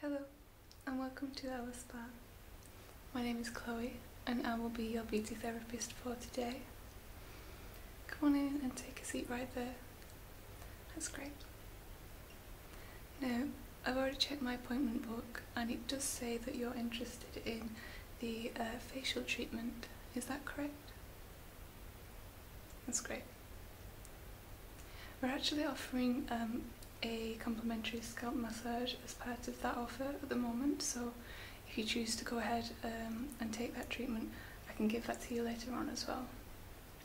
Hello, and welcome to our Spa. My name is Chloe, and I will be your beauty therapist for today. Come on in and take a seat right there. That's great. Now, I've already checked my appointment book, and it does say that you're interested in the uh, facial treatment. Is that correct? That's great. We're actually offering um, a complimentary scalp massage as part of that offer at the moment so if you choose to go ahead um, and take that treatment I can give that to you later on as well.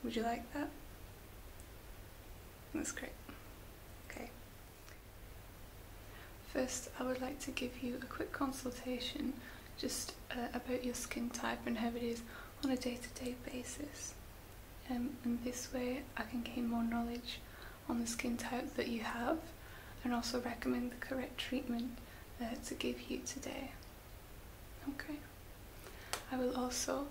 Would you like that? That's great. Okay. First I would like to give you a quick consultation just uh, about your skin type and how it is on a day-to-day basis. Um, and in this way I can gain more knowledge on the skin type that you have and also recommend the correct treatment uh, to give you today. Okay. I will also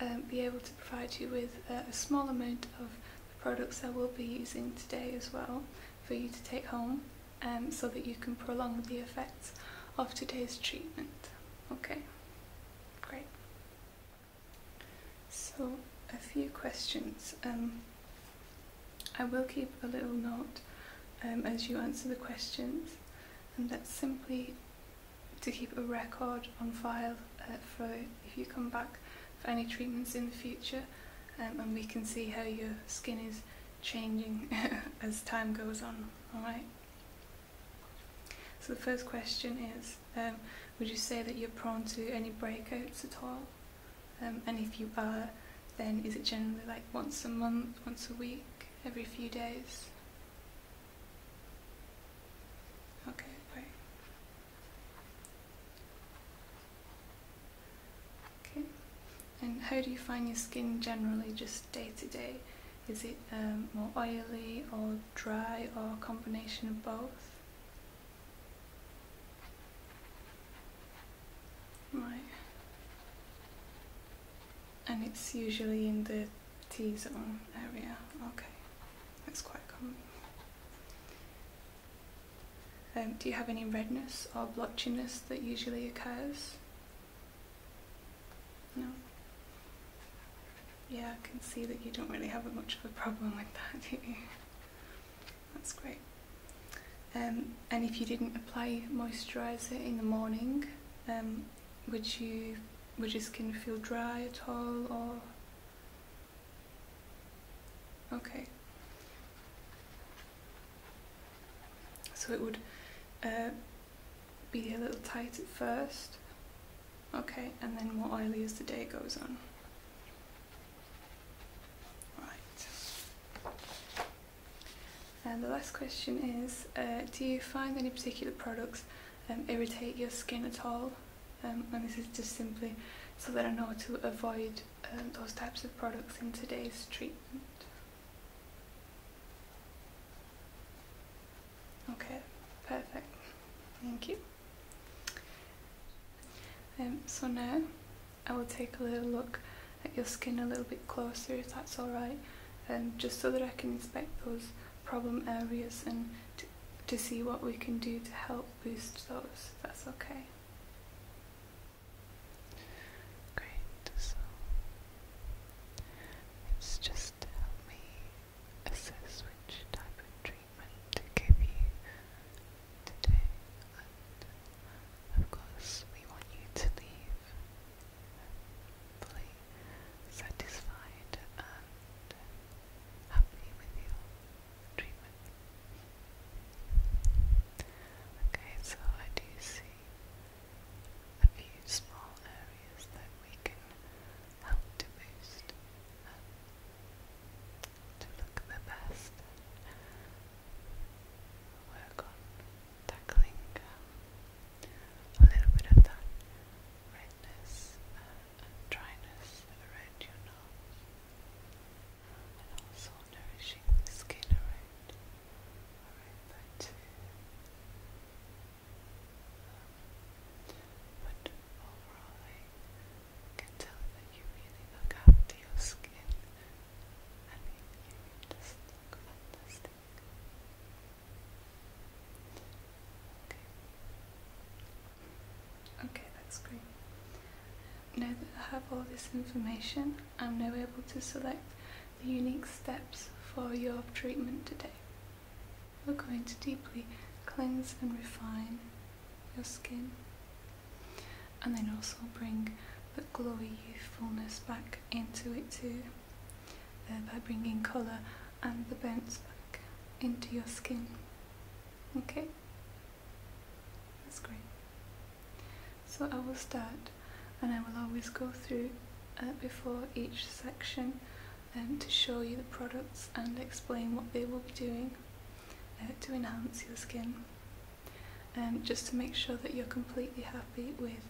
um, be able to provide you with uh, a small amount of the products I will be using today as well for you to take home um, so that you can prolong the effects of today's treatment. Okay, great. So, a few questions. Um, I will keep a little note um, as you answer the questions, and that's simply to keep a record on file uh, for if you come back for any treatments in the future, and we can see how your skin is changing as time goes on, alright? So the first question is, um, would you say that you're prone to any breakouts at all? Um, and if you are, then is it generally like once a month, once a week, every few days? Okay, Okay. And how do you find your skin generally, just day to day? Is it um, more oily or dry or combination of both? Right. And it's usually in the T-zone area. Okay. That's quite common. Um, do you have any redness or blotchiness that usually occurs? No. Yeah, I can see that you don't really have much of a problem with that, do you? That's great. Um, and if you didn't apply moisturiser in the morning, um, would you would your skin feel dry at all or okay so it would uh, be a little tight at first, okay, and then more oily as the day goes on. Right. And the last question is, uh, do you find any particular products um, irritate your skin at all? Um, and this is just simply so that I know to avoid um, those types of products in today's treatment. Okay, perfect. Thank you. Um, so now I will take a little look at your skin a little bit closer if that's alright, um, just so that I can inspect those problem areas and to, see what we can do to help boost those, that's okay. Great, so it's just to help me assess which type of treatment to give you today, of course, we want you to leave fully satisfied and happy with your treatment. Okay, so I do see a few small areas that we can help to boost um, to look the best and work on tackling um, a little bit of that redness uh, and dryness around your nose and also nourishing the skin around, around um, but overall, I can tell that you really look after your skin. Okay. Okay, that's great. Now that I have all this information, I'm now able to select the unique steps for your treatment today. We're going to deeply cleanse and refine your skin and then also bring the glowy youthfulness back into it too, thereby bringing colour and the bounce back into your skin. Okay? That's great. So I will start and I will always go through uh, before each section um, to show you the products and explain what they will be doing uh, to enhance your skin. and um, just to make sure that you're completely happy with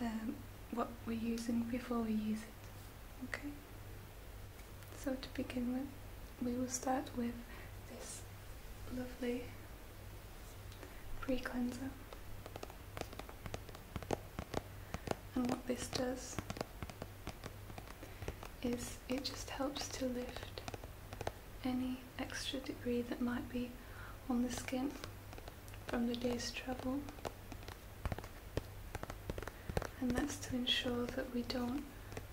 um, what we're using before we use it. Okay? So to begin with, we will start with this lovely pre-cleanser and what this does is it just helps to lift any extra debris that might be on the skin from the day's travel and that's to ensure that we don't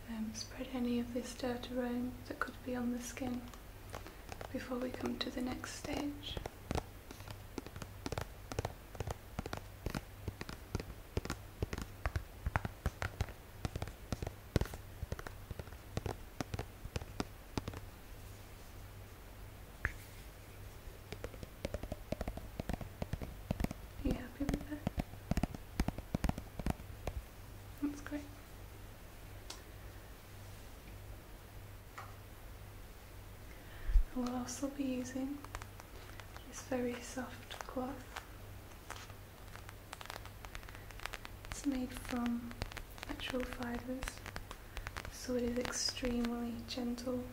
um, spread any of this dirt around that could be on the skin before we come to the next stage. Are you happy with that? That's great. I will also be using this very soft cloth. It's made from natural fibres, so it is extremely gentle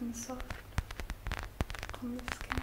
and soft on the skin.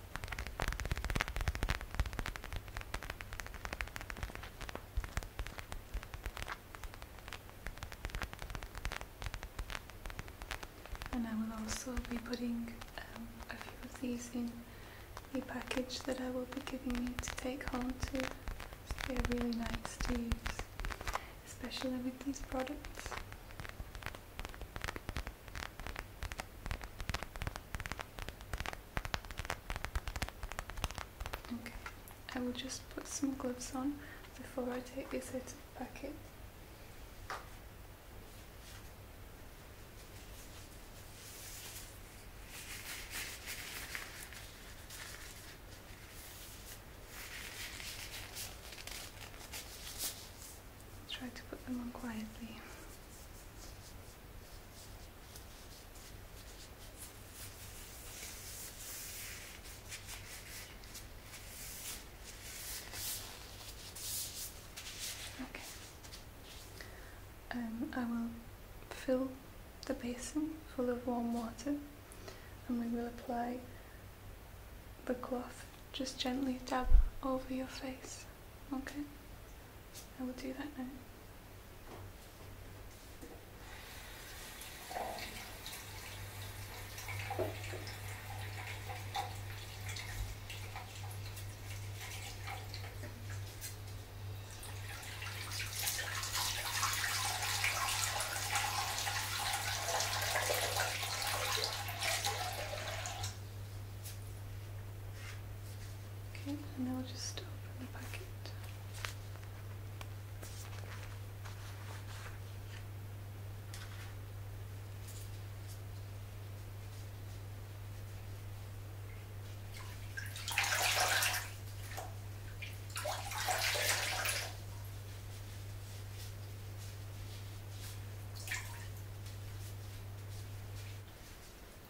And I will also be putting um, a few of these in the package that I will be giving you to take home too. they're really nice to use, especially with these products. Okay, I will just put some gloves on before I take this out of the packet. Try to put them on quietly. Okay. Um, I will fill the basin full of warm water and we will apply the cloth just gently dab over your face. Okay? I will do that now. Okay, and now we'll just open the packet.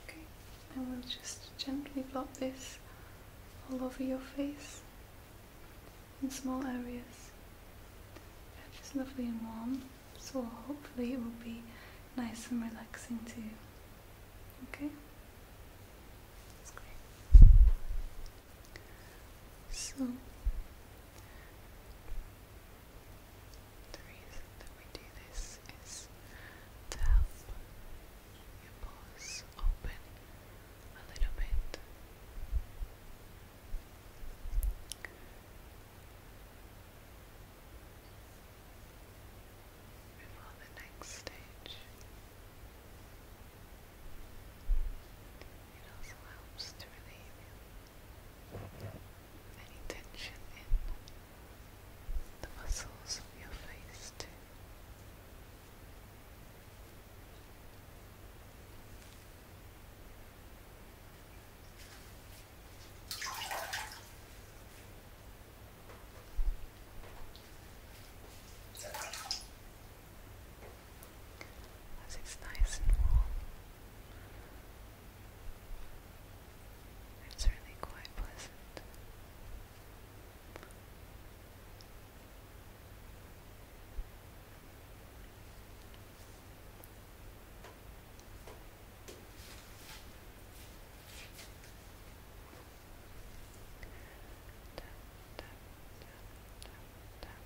Okay, we will just gently blot this all over your face in small areas. It's lovely and warm, so hopefully it will be nice and relaxing to you. Okay? That's great. So, the reason that we do this is to help your pores open a little bit. Before the next stage, it also helps to relieve any tension in the muscles of your face, too. As it's nice and warm, it's really quite pleasant. Tap, tap, tap, tap, tap.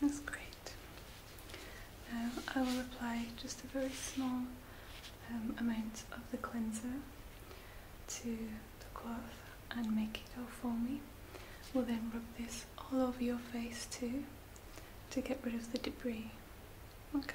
That's great. Now I will apply just a very small um, amount of the cleanser to the cloth and make it all for me. We'll then rub this all over your face too to get rid of the debris. Okay.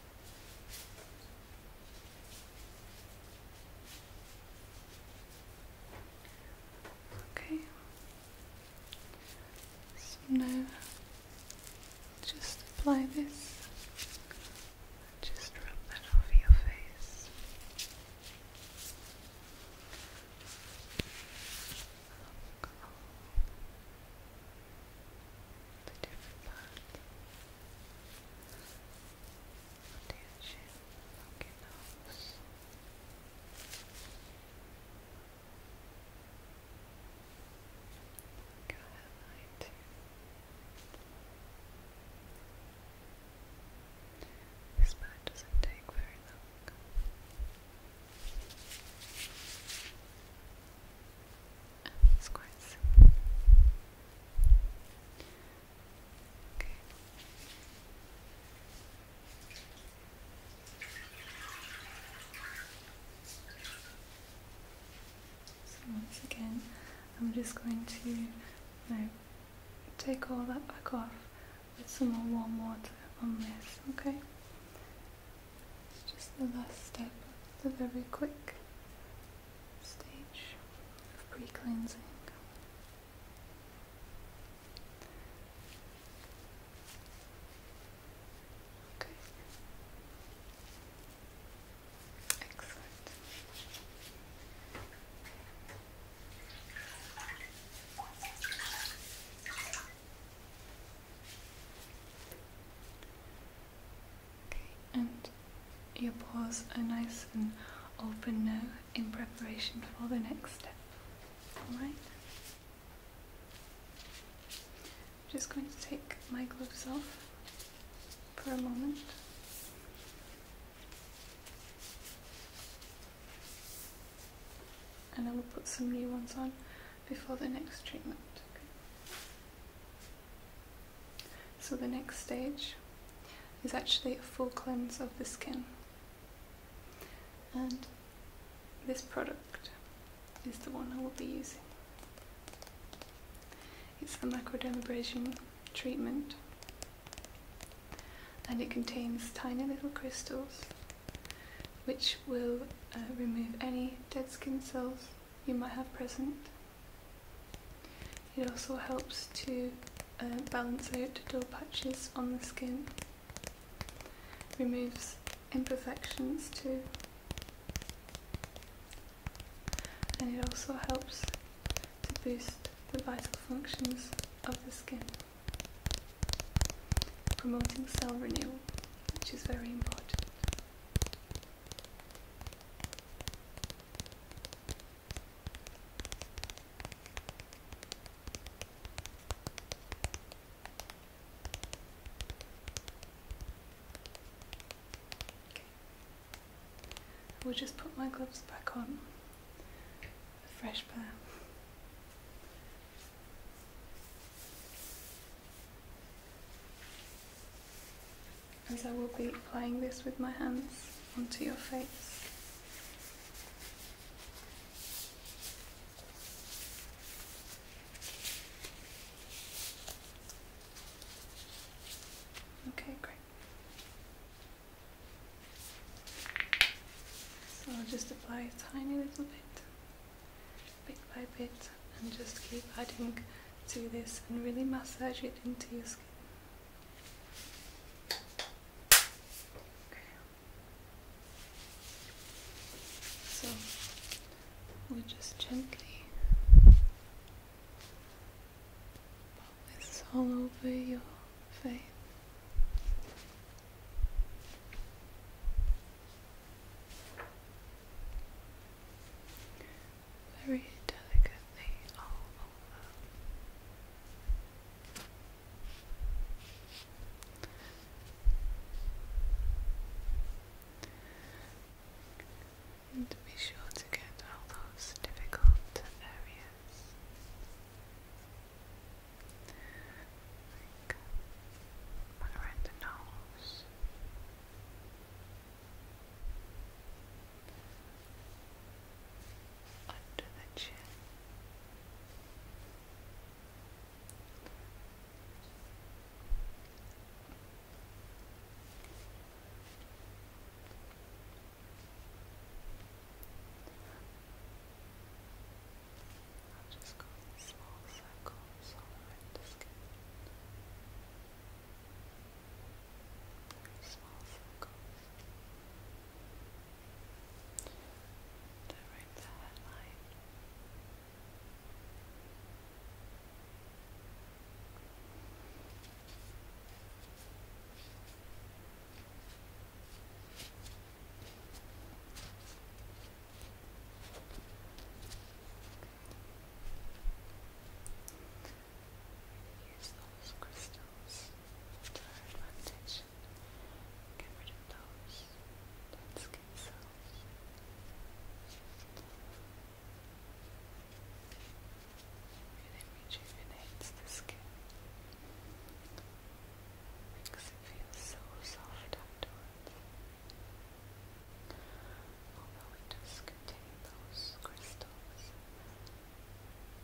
Okay. So now just apply this. Just rub that over your face the different parts under your chin, along your nose this part doesn't take very long of So once again, I'm just going to take all that back off with some more warm water on this, okay? It's just the last step of every quick stage of pre-cleansing. Okay. Excellent and your paws are nice and open now in preparation for the next step. Alright? I'm just going to take my gloves off for a moment. And I will put some new ones on before the next treatment. So the next stage is actually a full cleanse of the skin. And this product is the one I will be using. It's the microdermabrasion treatment and it contains tiny little crystals which will uh, remove any dead skin cells you might have present. It also helps to uh, balance out dull patches on the skin, removes imperfections too, and it also helps to boost the vital functions of the skin, promoting cell renewal which is very important. Okay. I will just put my gloves back on, a fresh pair as I will be applying this with my hands onto your face. Okay, great. So just apply a tiny little bit bit by bit and just keep adding to this and really massage it into your skin. So we just gently pop this all over your face very delicately all over. And be sure to get all those difficult areas like one the nose. Under the chin, just go in small circles all around the skin. small circles. And the headline. Use those crystals to our advantage. Get rid of those dead skin cells. And it rejuvenates the skin. Makes it feel so soft afterwards. Although it contain those crystals, you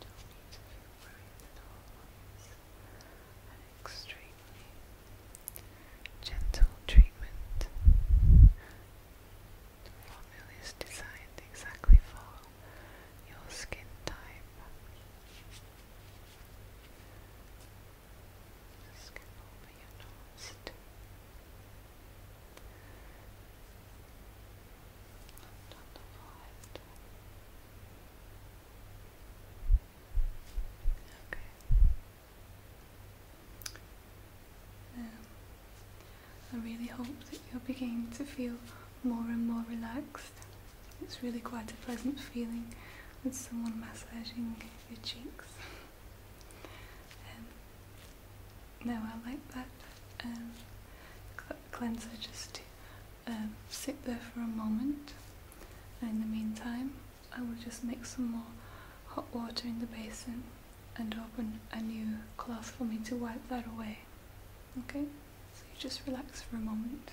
need to feel at all. It's an extremely gentle treatment. The formula is designed exactly for your skin type. Um, I really hope that you're beginning to feel more and more relaxed it's really quite a pleasant feeling with someone massaging your cheeks. Um, now I like that um, cleanser just to um, sit there for a moment. in the meantime, I will just mix some more hot water in the basin and open a new cloth for me to wipe that away. Okay? So you just relax for a moment.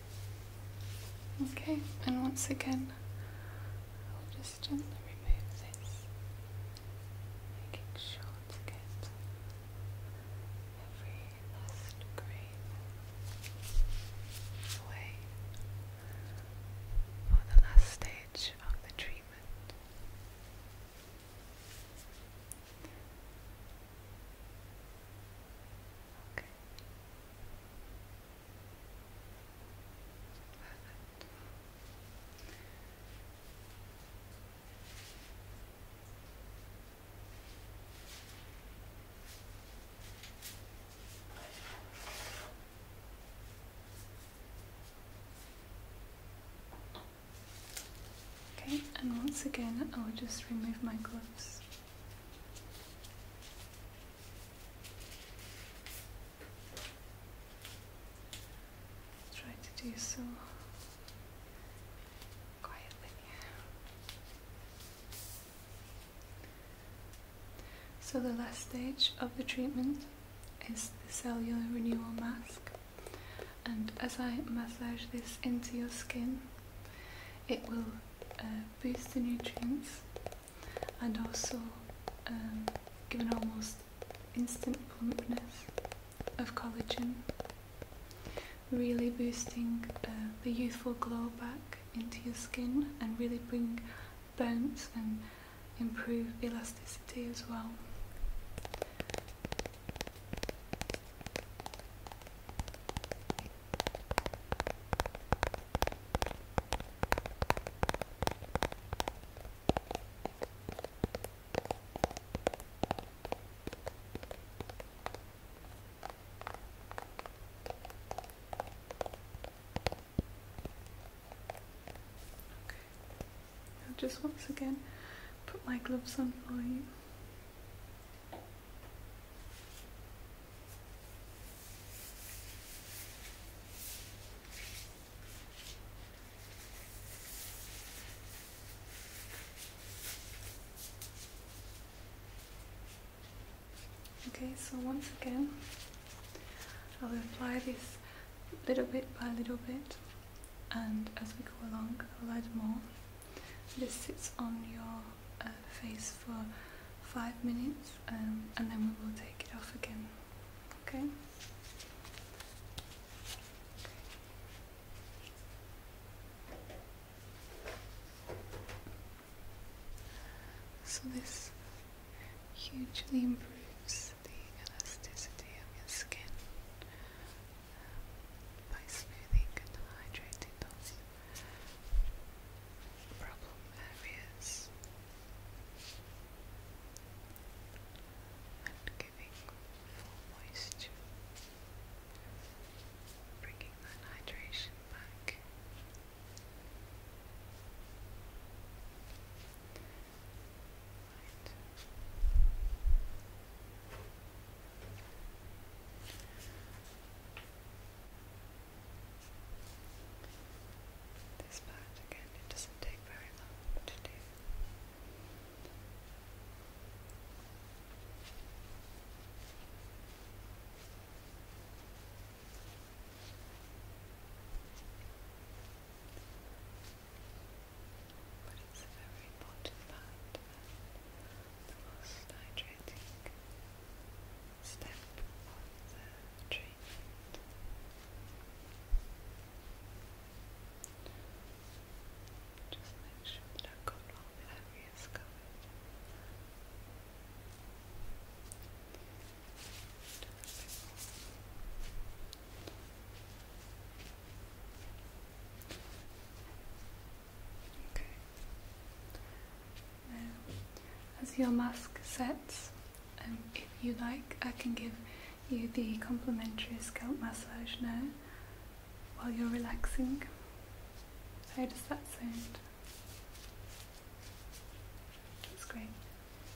Okay, and once again, I'll just gently remove this, making sure to get every last grain away for the last stage of the treatment. Okay. Okay, and once again, I will just remove my gloves. Try to do so quietly. So the last stage of the treatment is the cellular renewal mask and as I massage this into your skin it will uh, boost the nutrients and also um, give an almost instant plumpness of collagen, really boosting uh, the youthful glow back into your skin and really bring bounce and improve elasticity as well. I'll just once again put my gloves on for you. Okay, so once again, I will apply this little bit by little bit and as we go along, I'll add more. This sits on your face for 5 minutes um, and then we will take it off again. Okay? So this hugely improves the elasticity of your skin um, by smoothing and hydrating it problem areas giving full moisture, bringing that hydration back. This part again, it doesn't take very long to do. But it's a very important part the most hydrating step of the treatment. Just make sure I've got all areas covered as your mask sets, um, if you like, I can give you the complimentary scalp massage now while you're relaxing. How does that sound? That's great.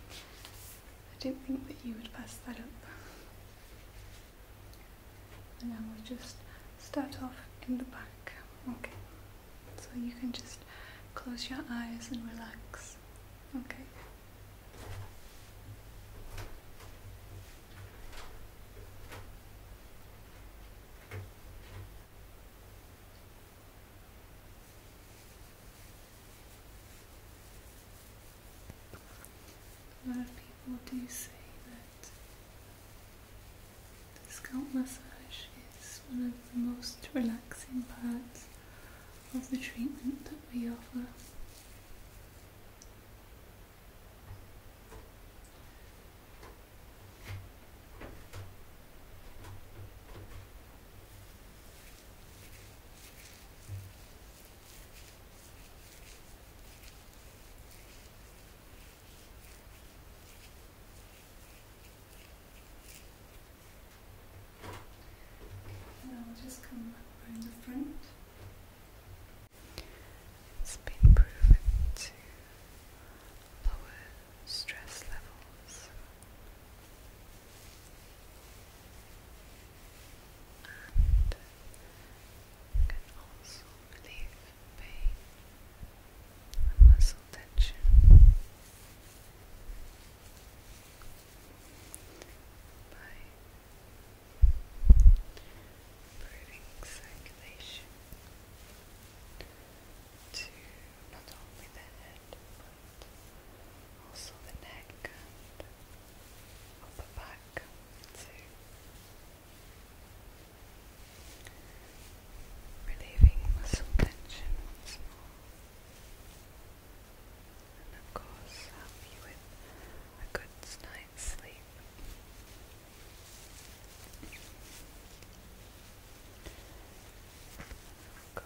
I do not think that you would pass that up and I will just start off in the back okay so you can just close your eyes and relax okay A lot of people do say that the scalp massage is one of the most relaxing parts of the treatment that we offer. Now I'll just come up around the front. It's been proven to lower stress levels and can also relieve pain and muscle tension. By improving circulation to not only the head but also the neck and upper back relieving muscle tension once more. And of course, help you with a good night's sleep. Go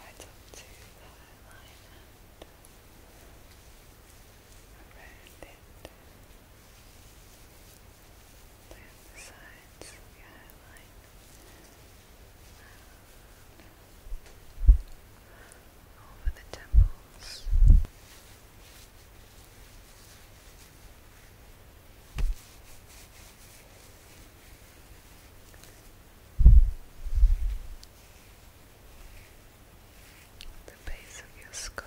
right up to the line and around it. Down the sides of the over the temples the base of your skull.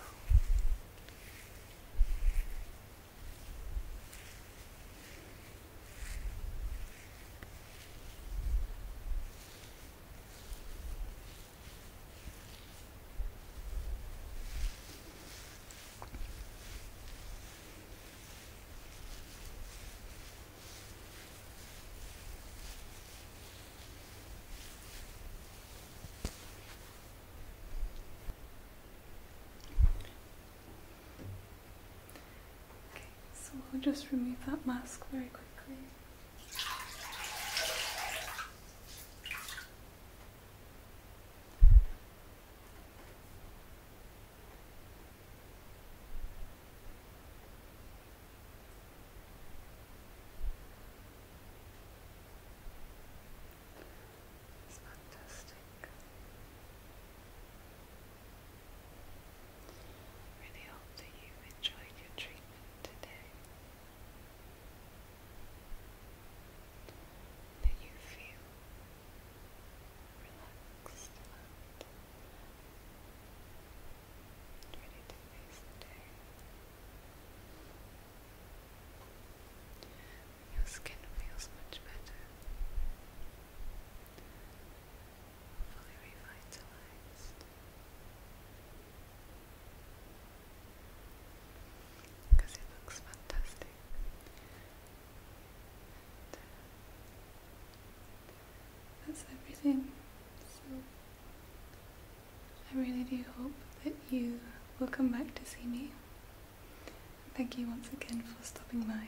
Okay, so we'll just remove that mask very quickly. It's fantastic. Really hope you enjoyed your treatment today. That you feel relaxed Ready to face the day. Your skin feels much better. Fully revitalized. Because it looks fantastic that's everything. So I really do hope that you will come back to see me. Thank you once again for stopping by.